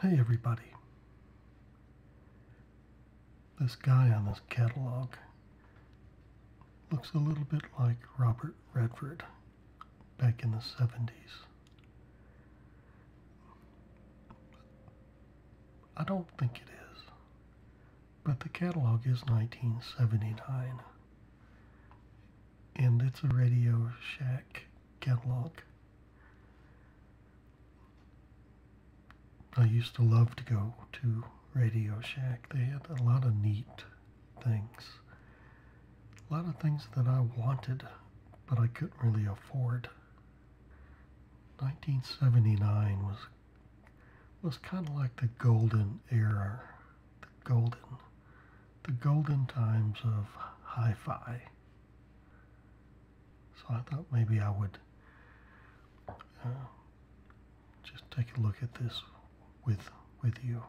Hey everybody. This guy on this catalog looks a little bit like Robert Redford back in the 70s. I don't think it is. But the catalog is 1979. And it's a Radio Shack catalog. I used to love to go to Radio Shack. They had a lot of neat things. A lot of things that I wanted, but I couldn't really afford. 1979 was was kind of like the golden era, the golden, the golden times of hi-fi. So I thought maybe I would uh, just take a look at this with with you.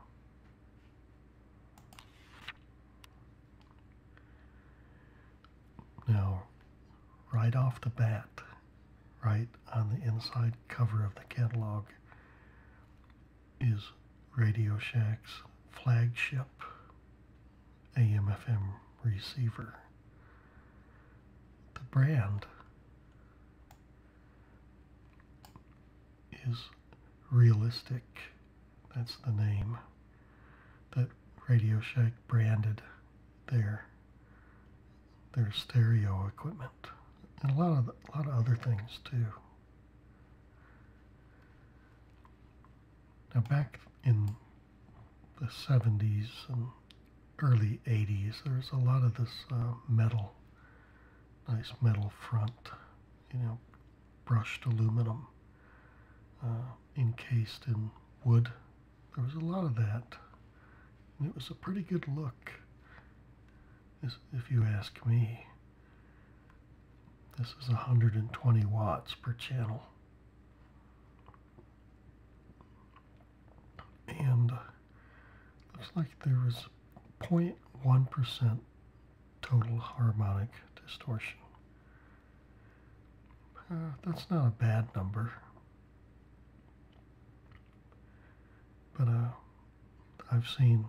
Now, right off the bat, right on the inside cover of the catalog is Radio Shack's flagship AM/FM receiver. The brand is Realistic. That's the name that Radio Shack branded there. There's stereo equipment and a lot of a lot of other things too. Now back in the 70s and early 80s, there's a lot of this uh, metal, nice metal front, you know, brushed aluminum uh, encased in wood there was a lot of that. And it was a pretty good look, if you ask me. This is 120 watts per channel. And uh, looks like there was 0.1% total harmonic distortion. Uh, that's not a bad number. But uh, I've seen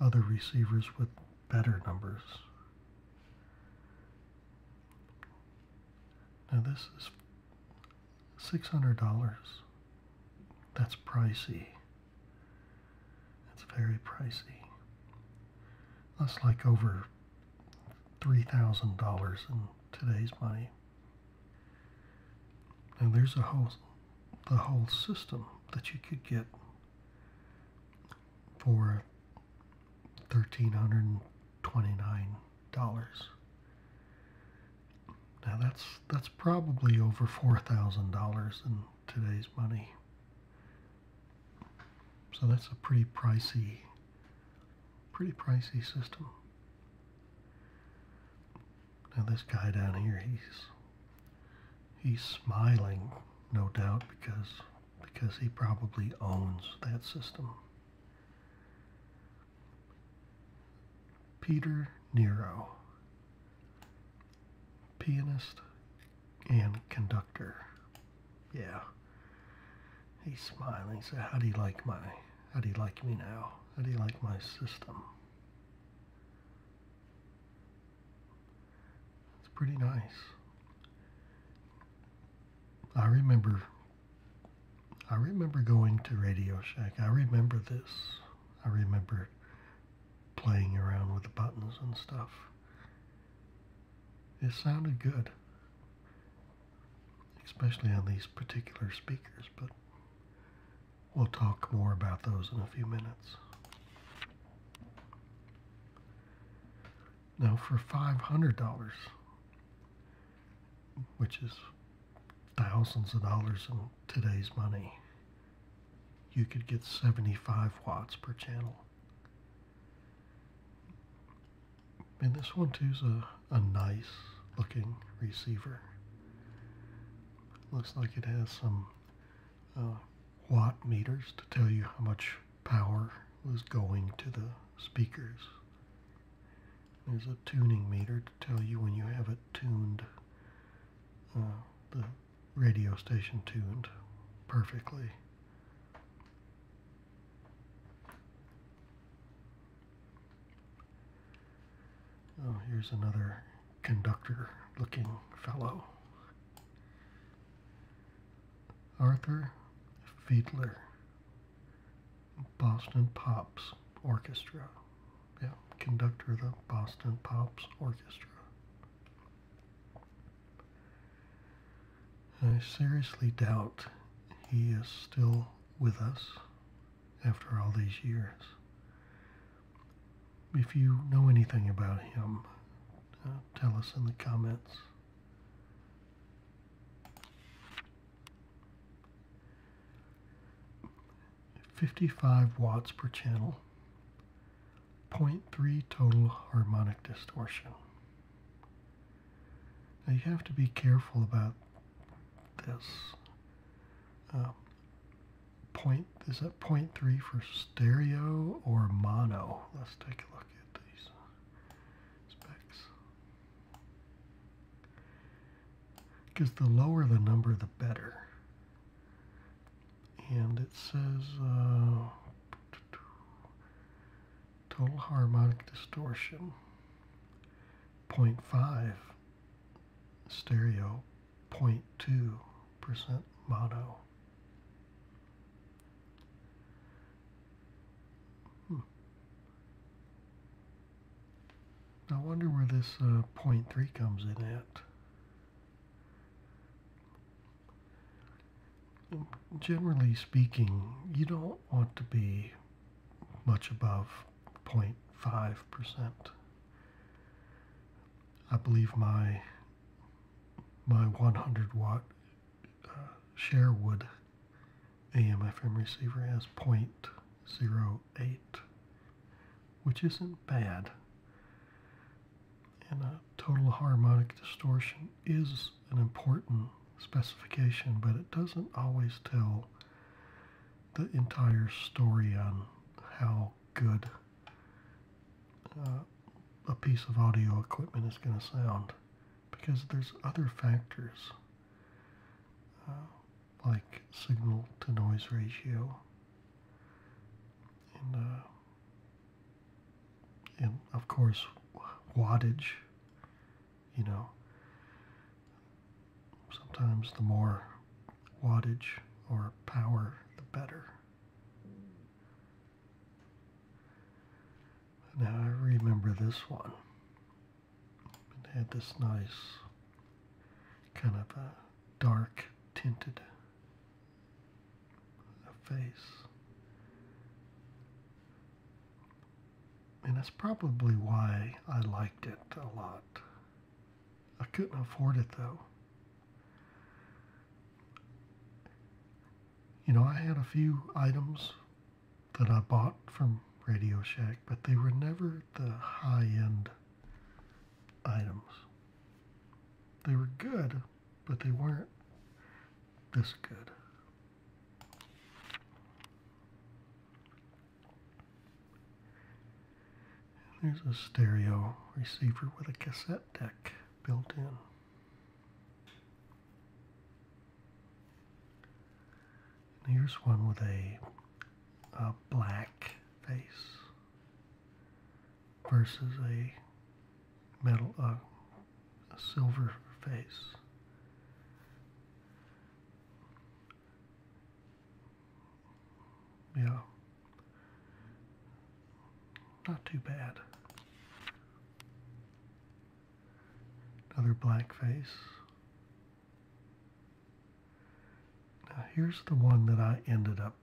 other receivers with better numbers. Now this is $600. That's pricey. It's very pricey. That's like over $3,000 in today's money. Now there's a whole, the whole system that you could get for $1,329. Now that's, that's probably over $4,000 in today's money. So that's a pretty pricey Pretty pricey system. Now this guy down here, he's he's smiling, no doubt, because because he probably owns that system. Peter Nero, pianist and conductor. Yeah. He's smiling. He said, How do you like my how do you like me now? How do you like my system? It's pretty nice. I remember I remember going to Radio Shack. I remember this. I remember playing around with the buttons and stuff. It sounded good especially on these particular speakers, but we'll talk more about those in a few minutes. Now for $500, which is thousands of dollars in today's money, you could get 75 watts per channel. And this one too is a, a nice looking receiver. Looks like it has some uh, watt meters to tell you how much power was going to the speakers. There's a tuning meter to tell you when you have it tuned, uh, the radio station tuned perfectly. Oh, here's another conductor looking fellow. Arthur Fiedler, Boston Pops Orchestra. Yeah, conductor of the Boston Pops Orchestra. I seriously doubt he is still with us after all these years. If you know anything about him, uh, tell us in the comments. Fifty-five watts per channel, 0.3 total harmonic distortion. Now you have to be careful about this. Um, point, is that 0.3 for stereo or mono? Let's take a look at these specs. Because the lower the number, the better. And it says uh, total harmonic distortion 0.5 stereo 0.2% mono I hmm. wonder where this uh, 0.3 comes in at. generally speaking, you don't want to be much above 0.5%. I believe my my 100 watt uh, share Sherwood AM FM receiver has 0.08, which isn't bad. And a uh, total harmonic distortion is an important specification, but it doesn't always tell the entire story on how good uh, a piece of audio equipment is going to sound because there's other factors uh, like signal to noise ratio and uh, of course wattage you know sometimes the more wattage or power the better now I remember this one it had this nice kind of a dark tinted face and that's probably why I liked it a lot. I couldn't afford it though. You know, I had a few items that I bought from Radio Shack, but they were never the high end items. They were good, but they weren't this good. There's a stereo receiver with a cassette deck built in. here's one with a, black face versus a metal, a silver face. Yeah. Not too bad. Another black face. Now here's the one that I ended up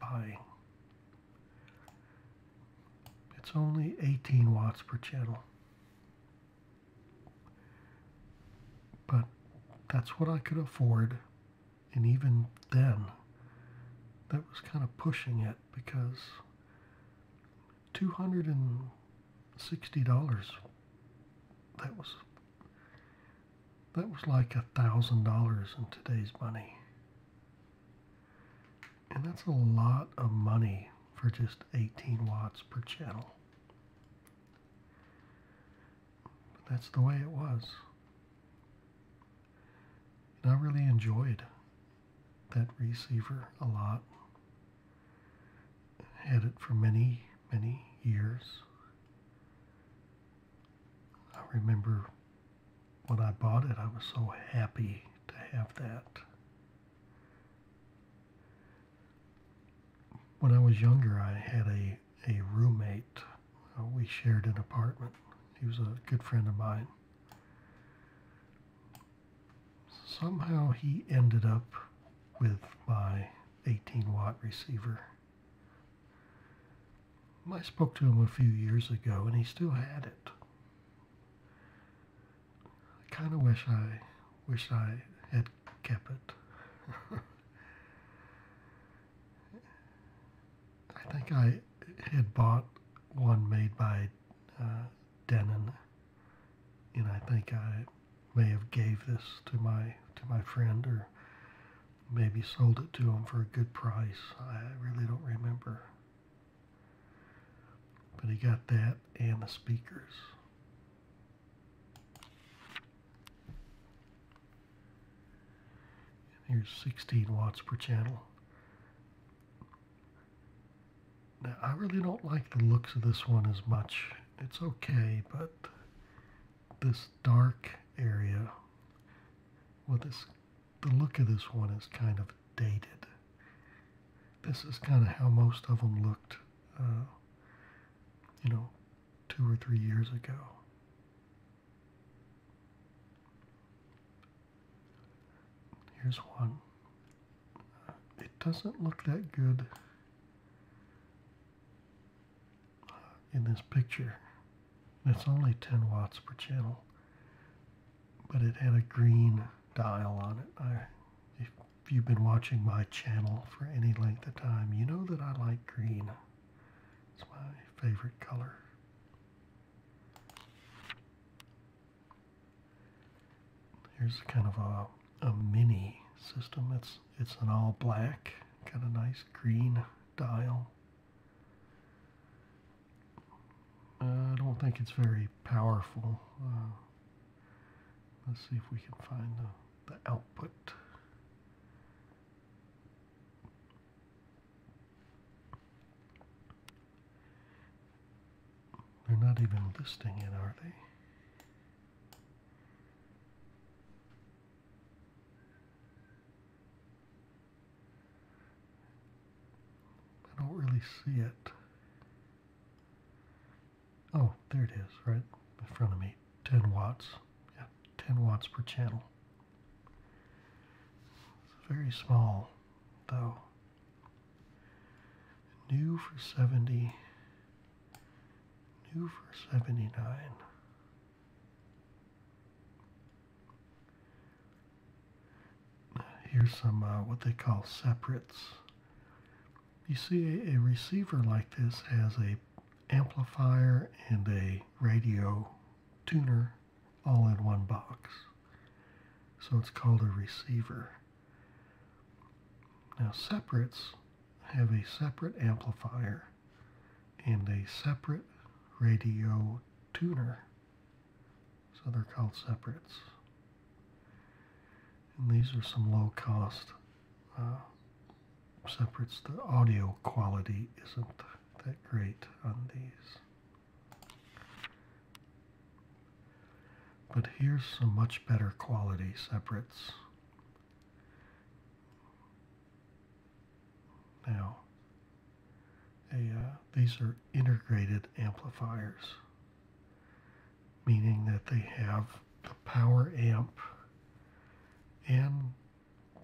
buying. It's only 18 watts per channel. But that's what I could afford. And even then, that was kind of pushing it because $260, that was that was like a thousand dollars in today's money. And that's a lot of money for just 18 watts per channel. But that's the way it was. I really enjoyed that receiver a lot. Had it for many, many years. I remember when I bought it, I was so happy to have that when I was younger, I had a, a roommate. Uh, we shared an apartment. He was a good friend of mine. Somehow he ended up with my 18 watt receiver. I spoke to him a few years ago and he still had it. I kind of wish I Wish I had kept it. I think I had bought one made by uh, Denon, and I think I may have gave this to my to my friend or maybe sold it to him for a good price. I really don't remember. But he got that and the speakers. Here's 16 watts per channel. Now, I really don't like the looks of this one as much. It's okay, but this dark area, well, this, the look of this one is kind of dated. This is kind of how most of them looked. Uh, you know, two or three years ago. Here's one. It doesn't look that good uh, in this picture. It's only 10 watts per channel, but it had a green dial on it if you've been watching my channel for any length of time, you know that I like green. It's my favorite color. Here's kind of a, a mini system. It's, it's an all black, Got a nice green dial. I don't think it's very powerful. Uh, let's see if we can find the the output. They're not even listing it, are they? I don't really see it. Oh, there it is, right in front of me. 10 watts. Yeah, 10 watts per channel. It's very small, though. New for 70. New for 79. Here's some uh, what they call separates. You see, a, receiver like this has a amplifier and a radio tuner all in one box. So it's called a receiver. Now separates have a separate amplifier and a separate radio tuner. So they're called separates. And these are some low cost uh, separates the audio quality isn't that great on these. But here's some much better quality separates. Now, uh, these are integrated amplifiers, meaning that they have the power amp and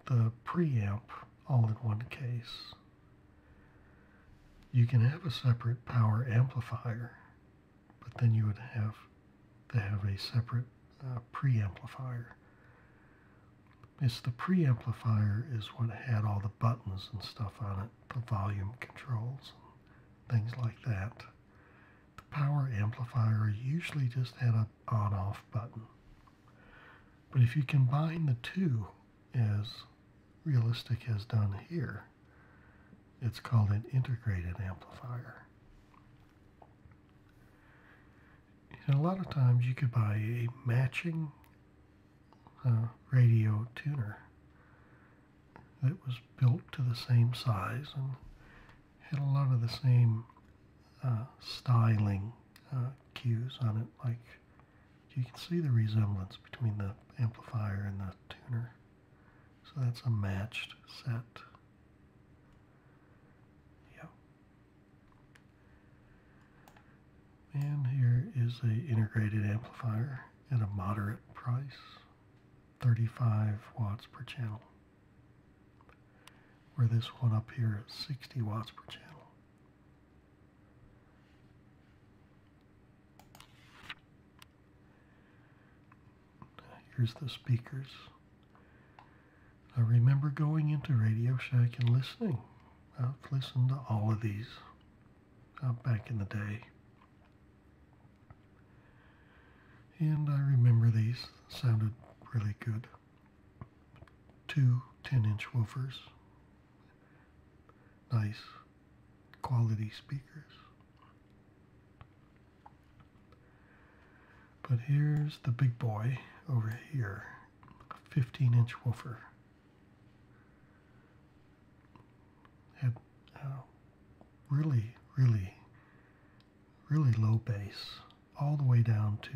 the preamp all in one case. You can have a separate power amplifier, but then you would have to have a separate uh, preamplifier. It's the preamplifier is what had all the buttons and stuff on it, the volume controls, things like that. The power amplifier usually just had an on-off button. But if you combine the two, as Realistic has done here, it's called an integrated amplifier. And a lot of times you could buy a matching uh, radio tuner that was built to the same size and had a lot of the same uh, styling uh, cues on it. Like you can see the resemblance between the amplifier and the tuner. So that's a matched set. Yep. And here is a integrated amplifier at a moderate price. 35 watts per channel. Where this one up here is 60 watts per channel. Here's the speakers. I remember going into Radio Shack and listening. I've listened to all of these uh, back in the day. And I remember these sounded really good. Two 10 inch woofers. Nice quality speakers. But here's the big boy over here, 15 inch woofer. Had uh, really, really really low bass all the way down to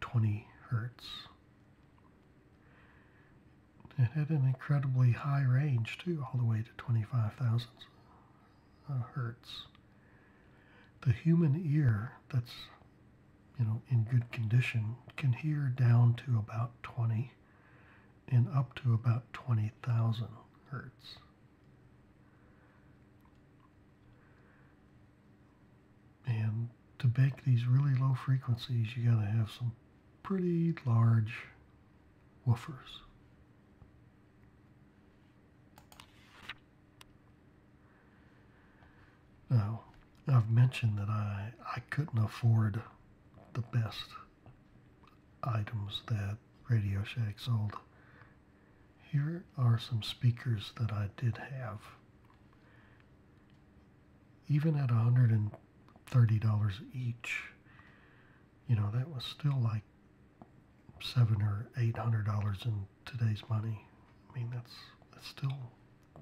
20 hertz. It had an incredibly high range too, all the way to 25,000 hertz. The human ear that's you know in good condition can hear down to about 20 and up to about 20,000 hertz. And to bake these really low frequencies, you got to have some pretty large woofers. Now, I've mentioned that I, I couldn't afford the best items that Radio Shack sold here are some speakers that I did have. Even at $130 each, you know, that was still like seven or eight hundred dollars in today's money. I mean that's that's still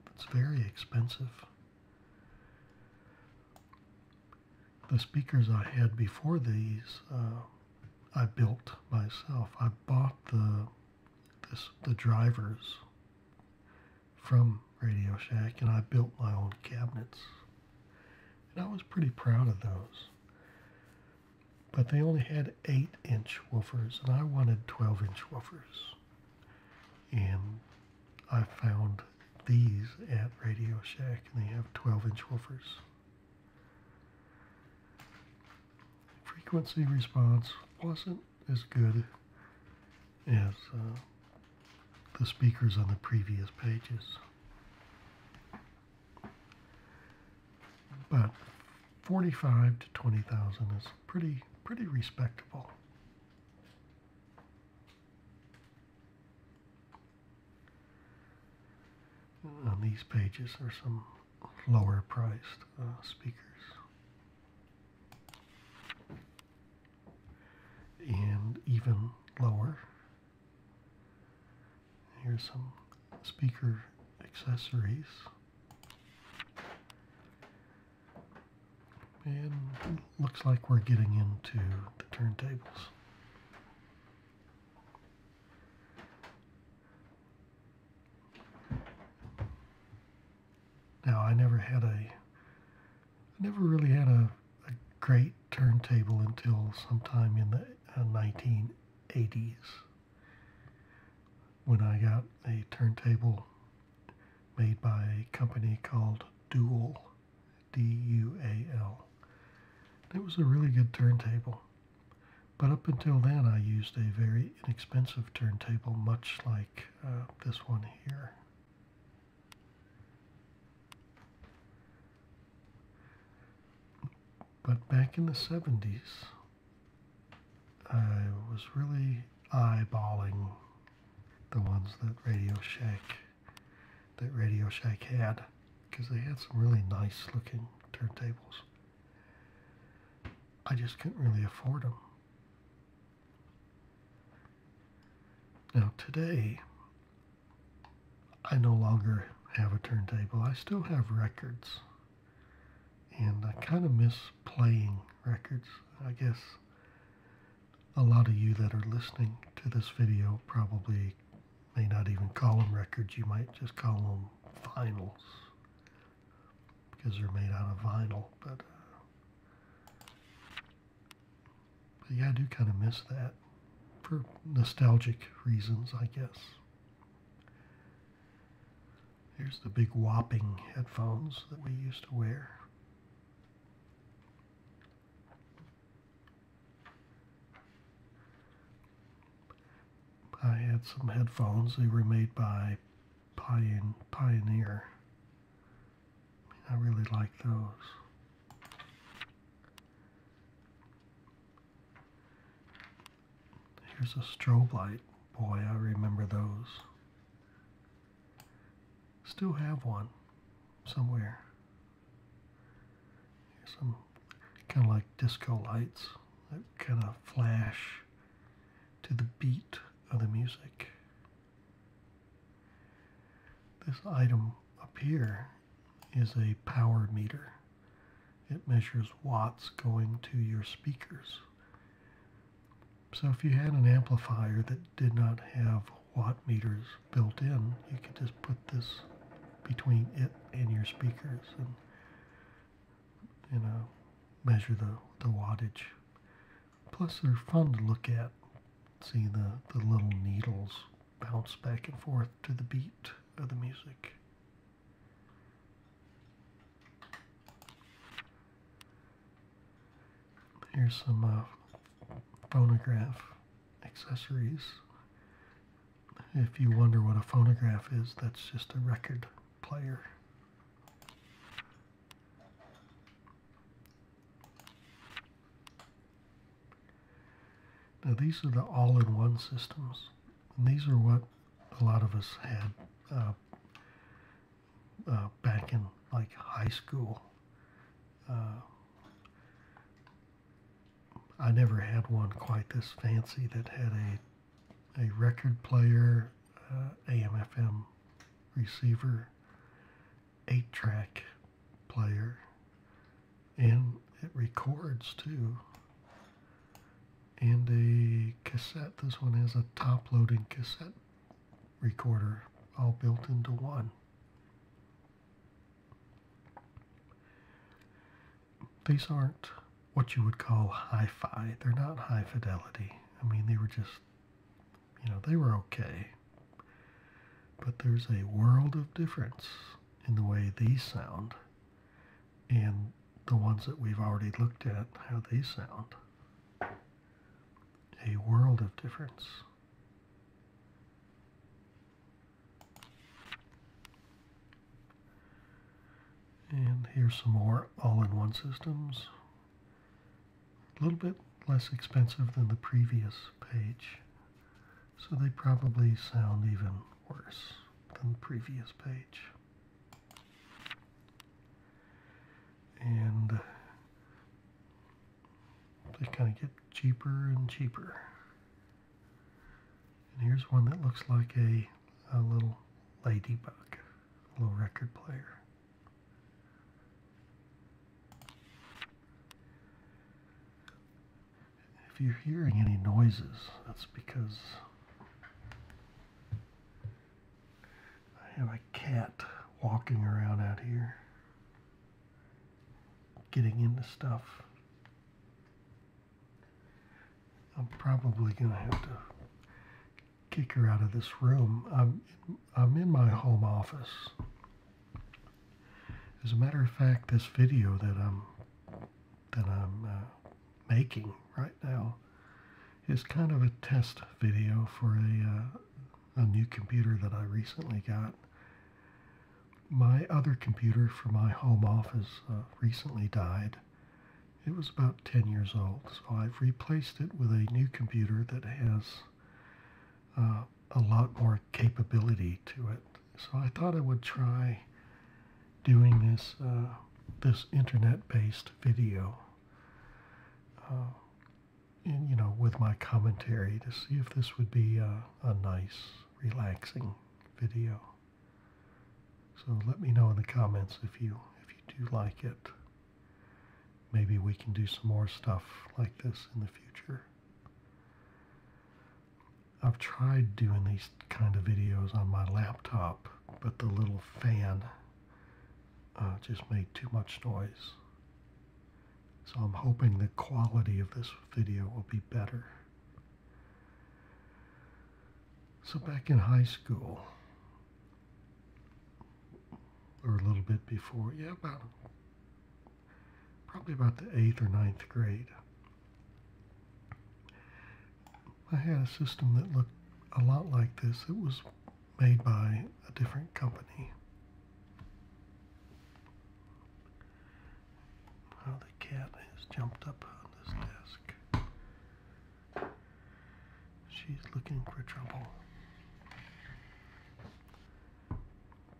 that's very expensive. The speakers I had before these uh, I built myself. I bought the this the drivers from Radio Shack and I built my own cabinets. And I was pretty proud of those. But they only had 8 inch woofers and I wanted 12 inch woofers. And I found these at Radio Shack and they have 12 inch woofers. Frequency response wasn't as good as uh, the speakers on the previous pages. But 45 to 20,000 is pretty pretty respectable on these pages are some lower priced uh, speakers. And even lower, here's some speaker accessories. And looks like we're getting into the turntables. Now I never had a, I never really had a great turntable until sometime in the 1980s uh, when I got a turntable made by a company called Dual, D-U-A-L. It was a really good turntable. But up until then I used a very inexpensive turntable much like uh, this one here. But back in the 70s, I was really eyeballing the ones that Radio Shack that Radio Shack had because they had some really nice looking turntables. I just couldn't really afford them. Now, today, I no longer have a turntable. I still have records. And I kind of miss playing records. I guess a lot of you that are listening to this video probably may not even call them records, you might just call them vinyls because they're made out of vinyl. Uh, but, yeah, I do kind of miss that for nostalgic reasons, I guess. Here's the big whopping headphones that we used to wear. I had some headphones. They were made by Pion Pioneer. I really like those. Here's a strobe light. Boy, I remember those. Still have one somewhere some kind of like disco lights that kind of flash to the beat of the music. This item up here is a power meter. It measures watts going to your speakers. So if you had an amplifier that did not have watt meters built in, you could just put this between it and your speakers you know, measure the, the wattage. Plus they're fun to look at. See the, the little needles bounce back and forth to the beat of the music. Here's some uh, phonograph accessories. If you wonder what a phonograph is, that's just a record player. Now these are the all-in-one systems. And these are what a lot of us had uh, uh, back in like high school. Uh, I never had one quite this fancy that had a a record player, uh, AM/FM receiver, eight-track player, and it records too. And a cassette. This one has a top-loading cassette recorder, all built into one these aren't what you would call hi-fi. They're not high fidelity. I mean, they were just, you know, they were okay. But there's a world of difference in the way these sound and the ones that we've already looked at, how they sound. A world of difference. And here's some more all-in-one systems. A little bit less expensive than the previous page. So they probably sound even worse than the previous page. And they kind of get cheaper and cheaper. And here's one that looks like a, little ladybug, a little record player. If you're hearing any noises, that's because I have a cat walking around out here, getting into stuff. I'm probably going to have to kick her out of this room. I'm, I'm in my home office. As a matter of fact, this video that I'm that I'm uh, making right now is kind of a test video for a, uh, a new computer that I recently got. My other computer for my home office uh, recently died, it was about 10 years old, so I've replaced it with a new computer that has uh, a lot more capability to it. So I thought I would try doing this uh, this internet-based video, uh, and you know, with my commentary to see if this would be a nice, relaxing video. So let me know in the comments if you if you do like it. Maybe we can do some more stuff like this in the future. I've tried doing these kind of videos on my laptop, but the little fan uh, just made too much noise. So I'm hoping the quality of this video will be better. So back in high school, or a little bit before, yeah, about probably about the eighth or ninth grade, I had a system that looked a lot like this. It was made by a different company. Now the cat has jumped up on this desk. She's looking for trouble.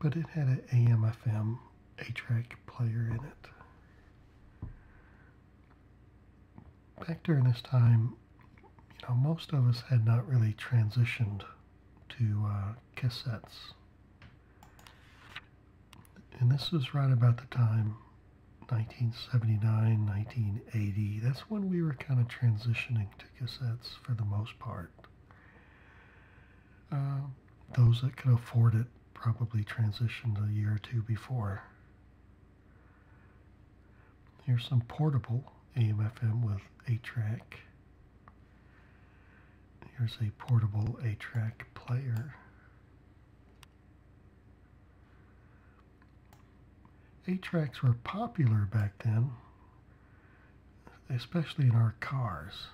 But it had an AM FM A track player in it. Back during this time, you know, most of us had not really transitioned to uh, cassettes. And this was right about the time 1979, 1980. That's when we were kind of transitioning to cassettes for the most part. Um, those that could afford it probably transitioned a year or two before. Here's some portable AM/FM with 8-track. Here's a portable 8-track player. Eight-tracks were popular back then, especially in our cars.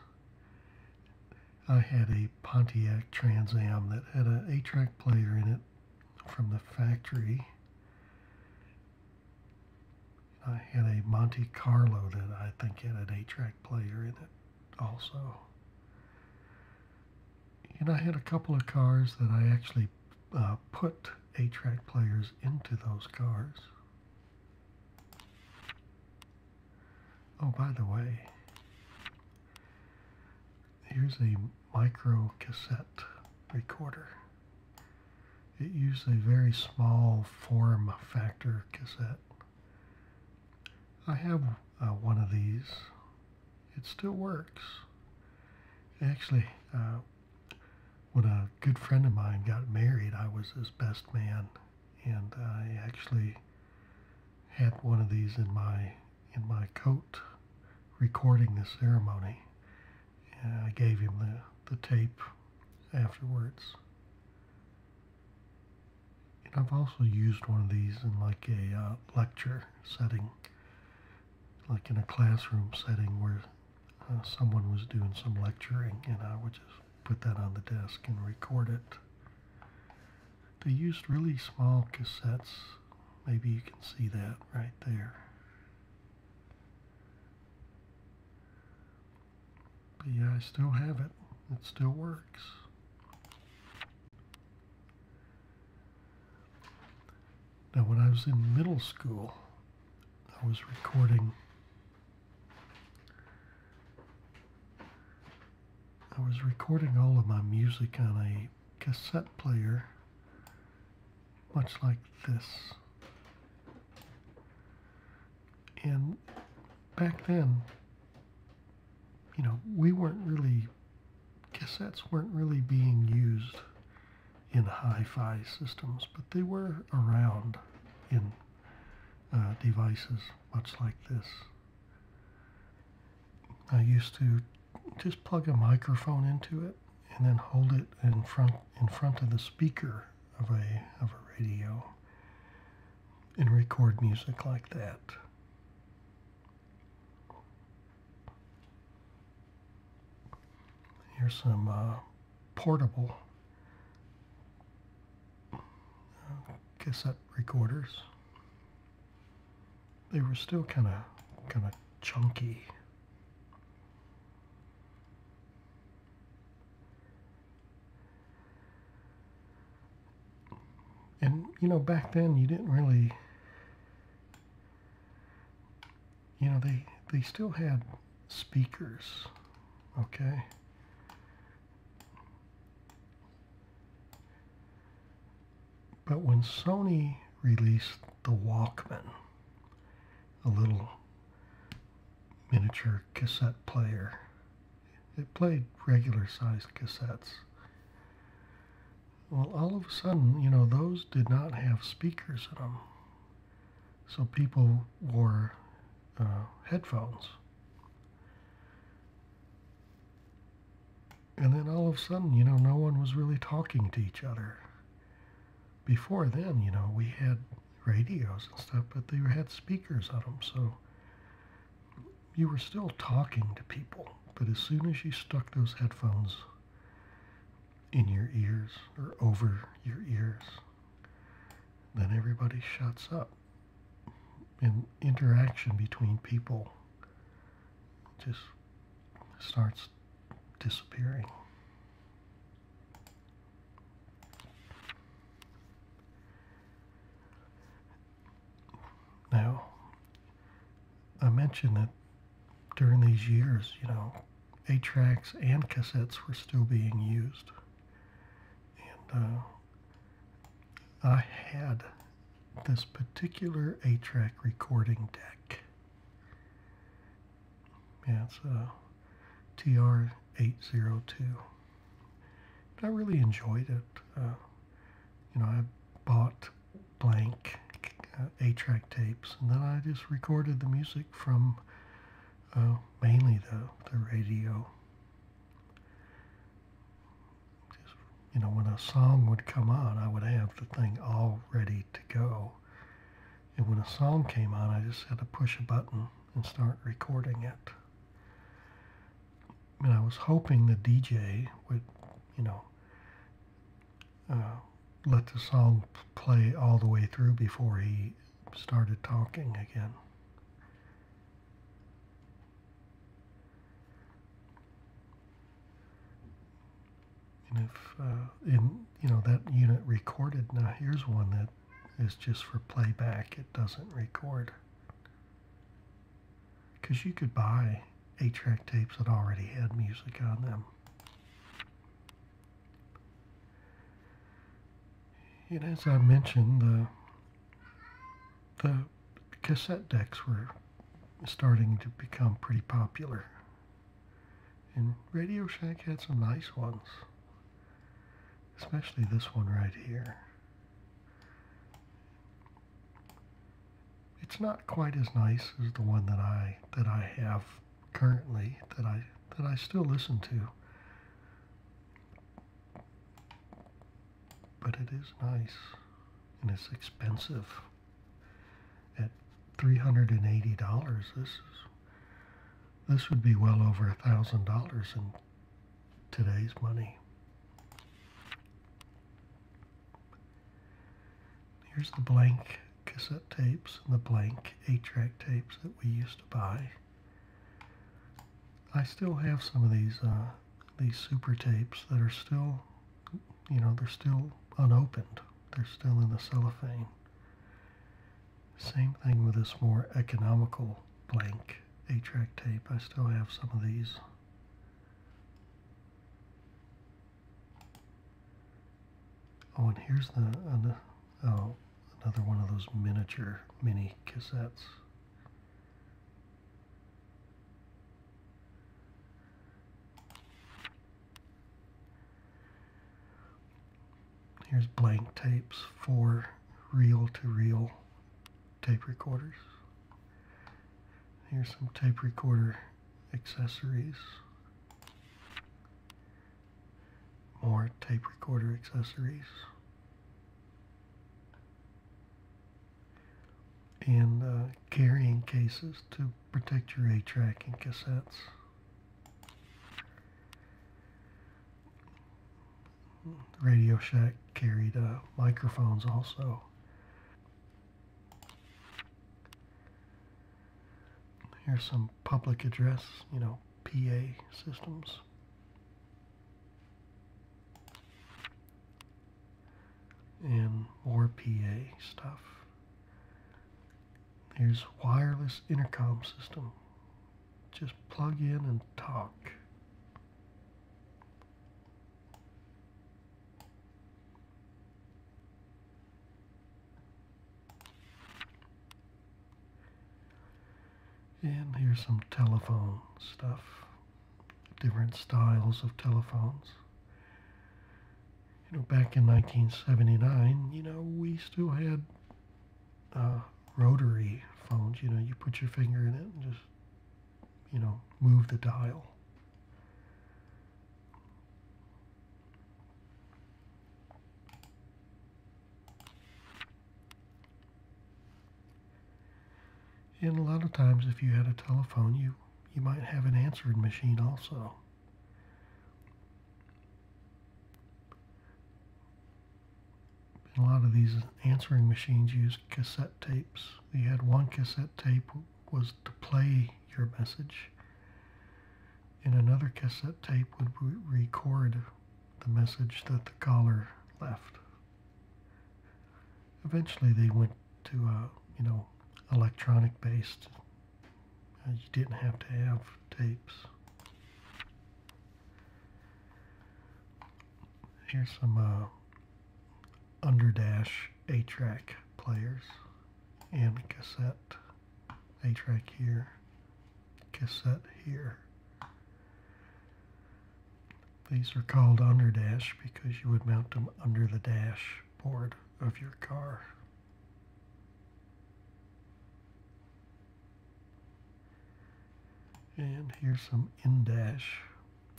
I had a Pontiac Trans Am that had an 8-track player in it from the factory. I had a Monte Carlo that I think had an 8-track player in it also. And I had a couple of cars that I actually uh, put A-track players into those cars. Oh, by the way, here's a micro cassette recorder. It used a very small form factor cassette. I have uh, one of these it still works. Actually, uh, when a good friend of mine got married, I was his best man, and I actually had one of these in my in my coat, recording the ceremony. And uh, I gave him the, the tape afterwards. And I've also used one of these in like a uh, lecture setting like in a classroom setting where uh, someone was doing some lecturing and I would just put that on the desk and record it. They used really small cassettes. Maybe you can see that right there. But yeah, I still have it. It still works. Now, when I was in middle school, I was recording. I was recording all of my music on a cassette player, much like this. And back then, you know, we weren't really cassettes weren't really being used in hi-fi systems, but they were around in uh, devices much like this. I used to just plug a microphone into it and then hold it in front in front of the speaker of a of a radio and record music like that. Here's some uh, portable cassette recorders. They were still kind of kind of chunky. And you know, back then you didn't really you know, they, they still had speakers, okay? But when Sony released the Walkman, a little miniature cassette player, it played regular sized cassettes. Well, all of a sudden, you know, those did not have speakers in them. So people wore uh, headphones. And then all of a sudden, you know, no one was really talking to each other. Before then, you know, we had radios and stuff, but they had speakers on them. So you were still talking to people. But as soon as you stuck those headphones in your ears or over your ears, then everybody shuts up. And interaction between people just starts disappearing. Now, I mentioned that during these years, you know, eight tracks and cassettes were still being used. And uh, I had this particular eight track recording deck. Yeah, it's a uh, TR802. I really enjoyed it. Uh, you know, I bought blank uh, A-track tapes, and then I just recorded the music from uh, mainly the, the radio. you know, when a song would come on, I would have the thing all ready to go. And when a song came on, I just had to push a button and start recording it. And I was hoping the DJ would, you know, uh, let the song play all the way through before he started talking again. And if, uh, in, you know, that unit recorded, now here's one that is just for playback, it doesn't record. Because you could buy eight track tapes that already had music on them. And as I mentioned, the, the cassette decks were starting to become pretty popular. And Radio Shack had some nice ones, especially this one right here it's not quite as nice as the one that I that I have currently that I that I still listen to. But it is nice and it's expensive. At $380, this is this would be well over a thousand dollars in today's money. Here's the blank cassette tapes and the blank 8-track tapes that we used to buy. I still have some of these uh, these super tapes that are still, you know, they're still unopened. They're still in the cellophane. Same thing with this more economical blank 8-track tape. I still have some of these. Oh, and here's the oh, another one of those miniature mini cassettes. Here's blank tapes, for reel to -reel tape recorders. Here's some tape recorder accessories, more tape recorder accessories, and uh, carrying cases to protect your A-track and cassettes. Radio Shack carried uh, microphones also. Here's some public address, you know, PA systems. And more PA stuff. Here's wireless intercom system. Just plug in and talk. And here's some telephone stuff, different styles of telephones. You know, back in 1979, you know, we still had uh, rotary phones. You know, you put your finger in it and just, you know, move the dial. And a lot of times, if you had a telephone, you, you might have an answering machine also. a lot of these answering machines used cassette tapes. You had one cassette tape was to play your message. And another cassette tape would record the message that the caller left. Eventually, they went to uh, you know electronic based. Uh, you didn't have to have tapes. Here's some uh, underdash A-track players and cassette. A track here, cassette here. These are called underdash because you would mount them under the dashboard of your car. And here's some in-dash.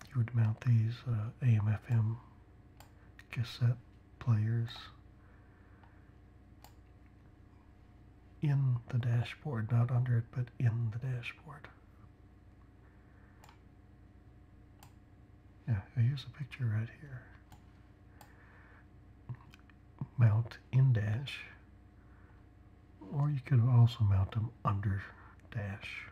You would mount these uh, AM-FM cassette players in the dashboard, not under it, but in the dashboard. Yeah, here's a picture right here. Mount in dash, or you could also mount them under dash.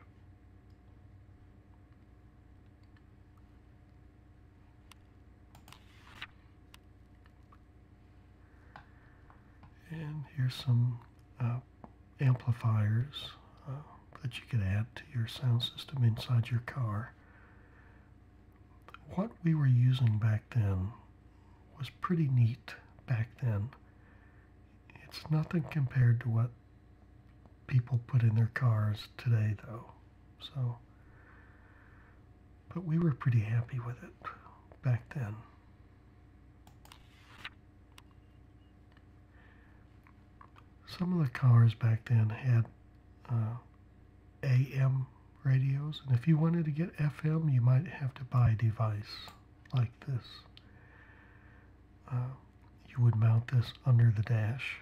And here's some uh, amplifiers uh, that you could add to your sound system inside your car. What we were using back then was pretty neat back then. It's nothing compared to what people put in their cars today, though. So, but we were pretty happy with it back then. Some of the cars back then had uh, AM radios, and if you wanted to get FM, you might have to buy a device like this. Uh, you would mount this under the dash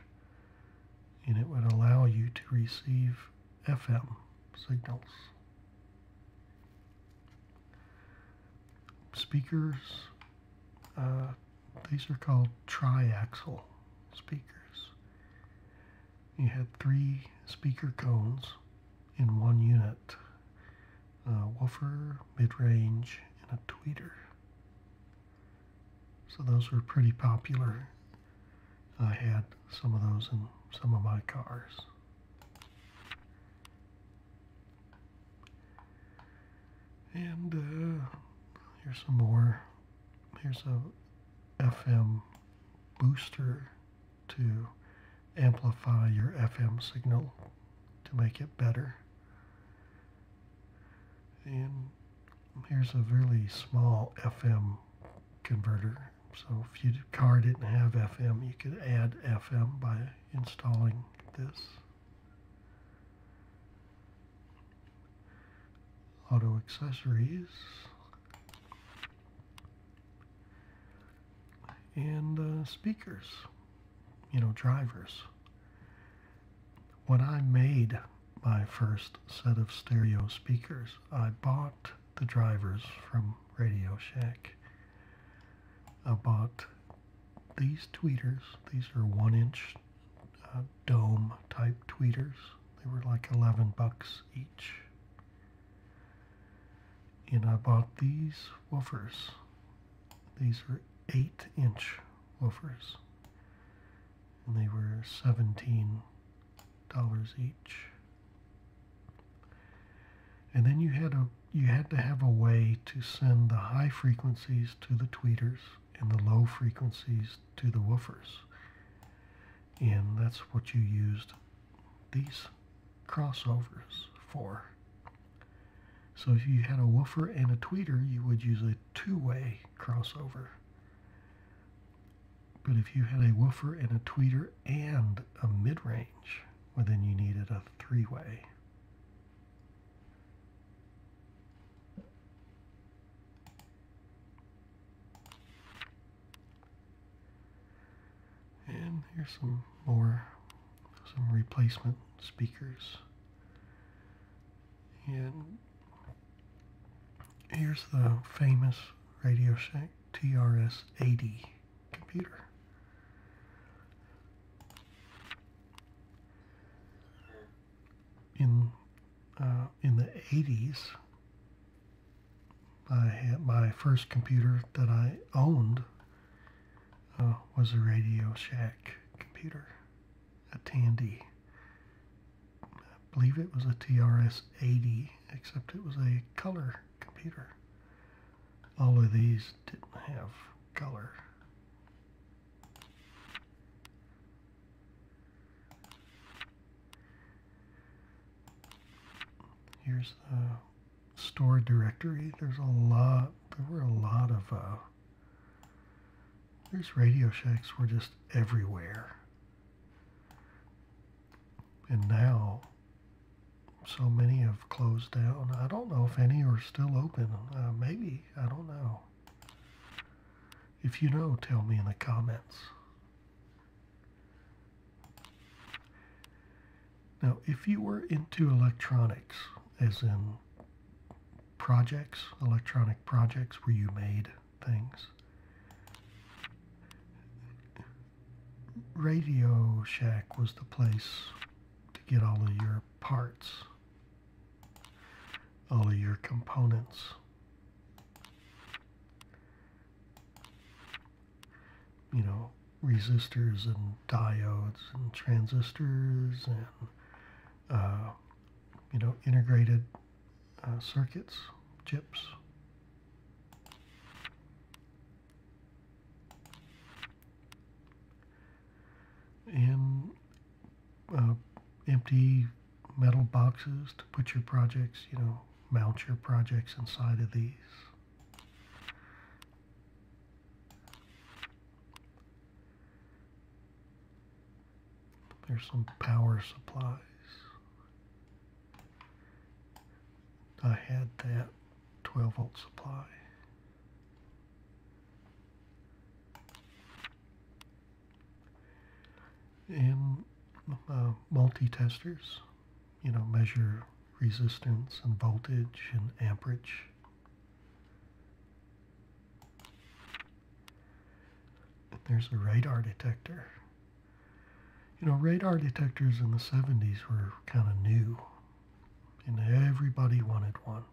and it would allow you to receive FM signals. Speakers, uh, these are called triaxial speakers. You had three speaker cones in one unit, a woofer, mid-range, and a tweeter. So those were pretty popular. I had some of those in some of my cars. And uh, here's some more. Here's a FM booster to amplify your FM signal to make it better. And here's a really small FM converter. So if your car didn't have FM, you could add FM by installing this. Auto accessories. And uh, speakers, you know, drivers. When I made my first set of stereo speakers, I bought the drivers from Radio Shack. I bought these tweeters. These are one inch uh, dome type tweeters. They were like 11 bucks each. And I bought these woofers. These are 8 inch woofers and they were $17 each. And then you had a you had to have a way to send the high frequencies to the tweeters and the low frequencies to the woofers. And that's what you used these crossovers for. So if you had a woofer and a tweeter, you would use a two-way crossover. But if you had a woofer and a tweeter and a mid range, well, then you needed a three way. And here's some more, some replacement speakers. And Here's the famous Radio Shack TRS-80 computer. In uh, in the 80s, I my first computer that I owned uh, was a Radio Shack computer, a Tandy I believe it was a TRS-80, except it was a color computer. All of these didn't have color. Here's the store directory. There's a lot, there were a lot of uh, these Radio Shacks were just everywhere. And now, so many have closed down. I don't know if any are still open. Uh, maybe. I don't know. If you know, tell me in the comments. Now, if you were into electronics, as in projects, electronic projects were you made things. Radio Shack was the place to get all of your parts, all of your components. You know, resistors and diodes and transistors and, uh, you know, integrated uh, circuits, chips. And uh, empty metal boxes to put your projects, you know, mount your projects inside of these. There's some power supplies. I had that 12 volt supply. And uh, multi-testers, you know, measure resistance and voltage and amperage. there's a radar detector. You know, radar detectors in the 70s were kind of new, and everybody wanted one.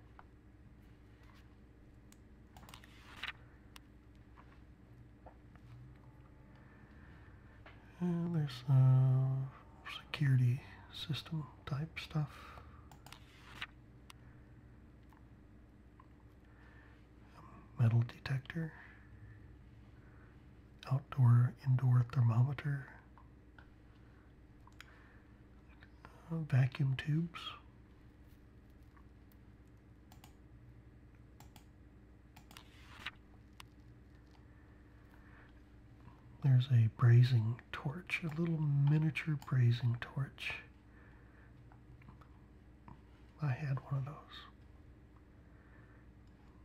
And there's some uh, security system type stuff metal detector, outdoor indoor thermometer, vacuum tubes. There's a brazing torch, a little miniature brazing torch. I had one of those.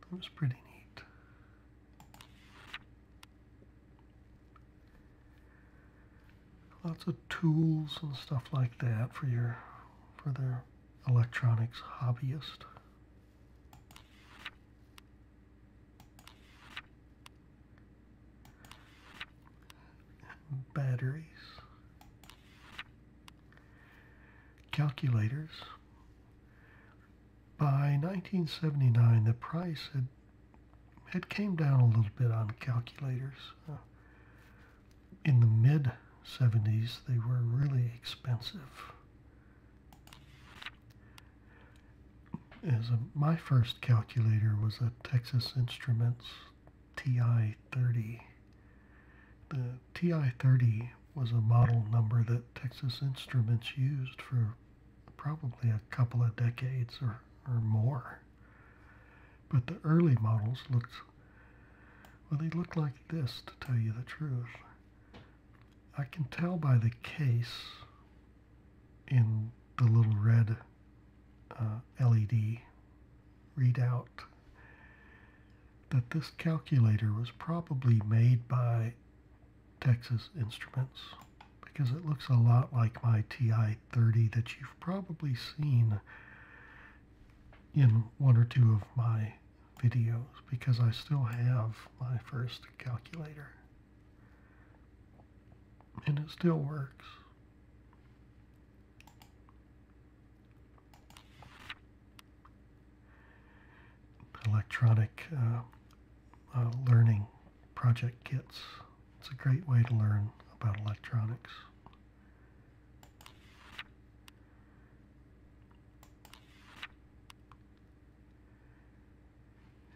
That was pretty neat. Lots of tools and stuff like that for your for their electronics hobbyist. batteries calculators. By 1979, the price had had came down a little bit on calculators. Uh, in the mid 70s, they were really expensive. As a, my first calculator was a Texas Instruments TI 30. The TI-30 was a model number that Texas Instruments used for probably a couple of decades or, or more. But the early models looked, well, they looked like this, to tell you the truth. I can tell by the case in the little red uh, LED readout that this calculator was probably made by Texas Instruments because it looks a lot like my TI-30 that you've probably seen in one or two of my videos because I still have my first calculator and it still works electronic uh, uh, learning project kits. It's a great way to learn about electronics.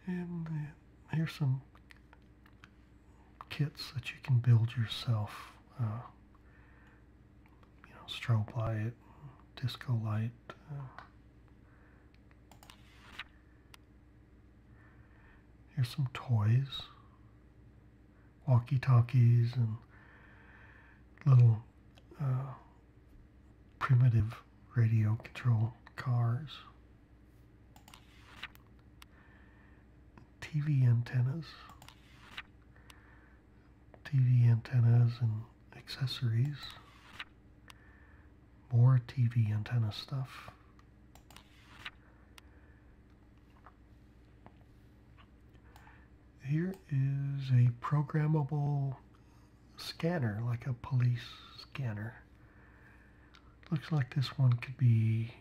And uh, here's some kits that you can build yourself you know, strobe light, disco light. Uh, here's some toys, walkie-talkies and little uh, primitive radio control cars. TV antennas. TV antennas and accessories. More TV antenna stuff. Here is a programmable scanner, like a police scanner. Looks like this one could be,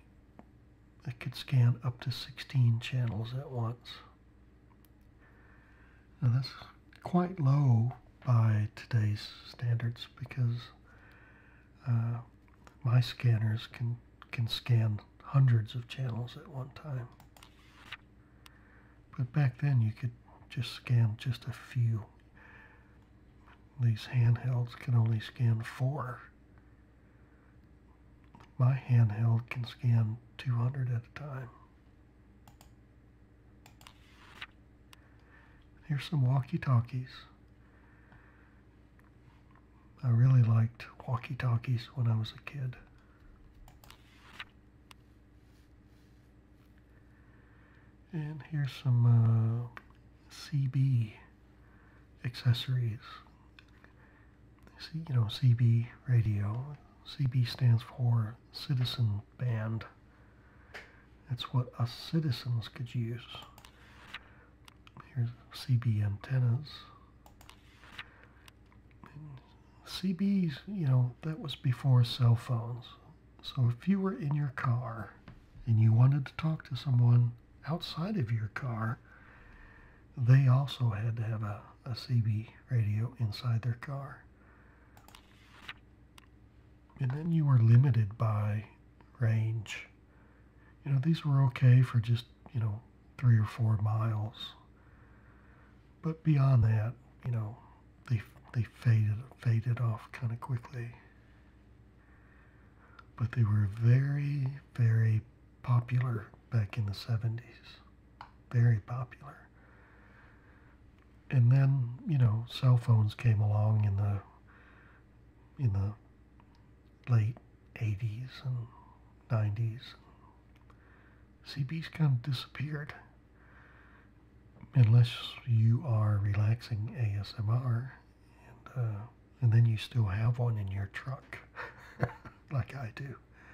it could scan up to 16 channels at once. Now that's quite low by today's standards because uh, my scanners can, can scan hundreds of channels at one time. But back then you could just scan just a few. These handhelds can only scan four. My handheld can scan 200 at a time. Here's some walkie-talkies. I really liked walkie-talkies when I was a kid. And here's some uh, CB accessories you know, CB radio. CB stands for citizen band. That's what a citizens could use. Here's CB antennas. CBs, you know, that was before cell phones. So if you were in your car and you wanted to talk to someone outside of your car, they also had to have a, a CB radio inside their car. And then you were limited by range. You know, these were okay for just, you know, three or four miles. But beyond that, you know, they, they faded, faded off kind of quickly. But they were very, very popular back in the 70s. Very popular. And then, you know, cell phones came along in the in the late 80s and 90s. CB's kind of disappeared. Unless you are relaxing ASMR, and, uh, and then you still have one in your truck, like I do.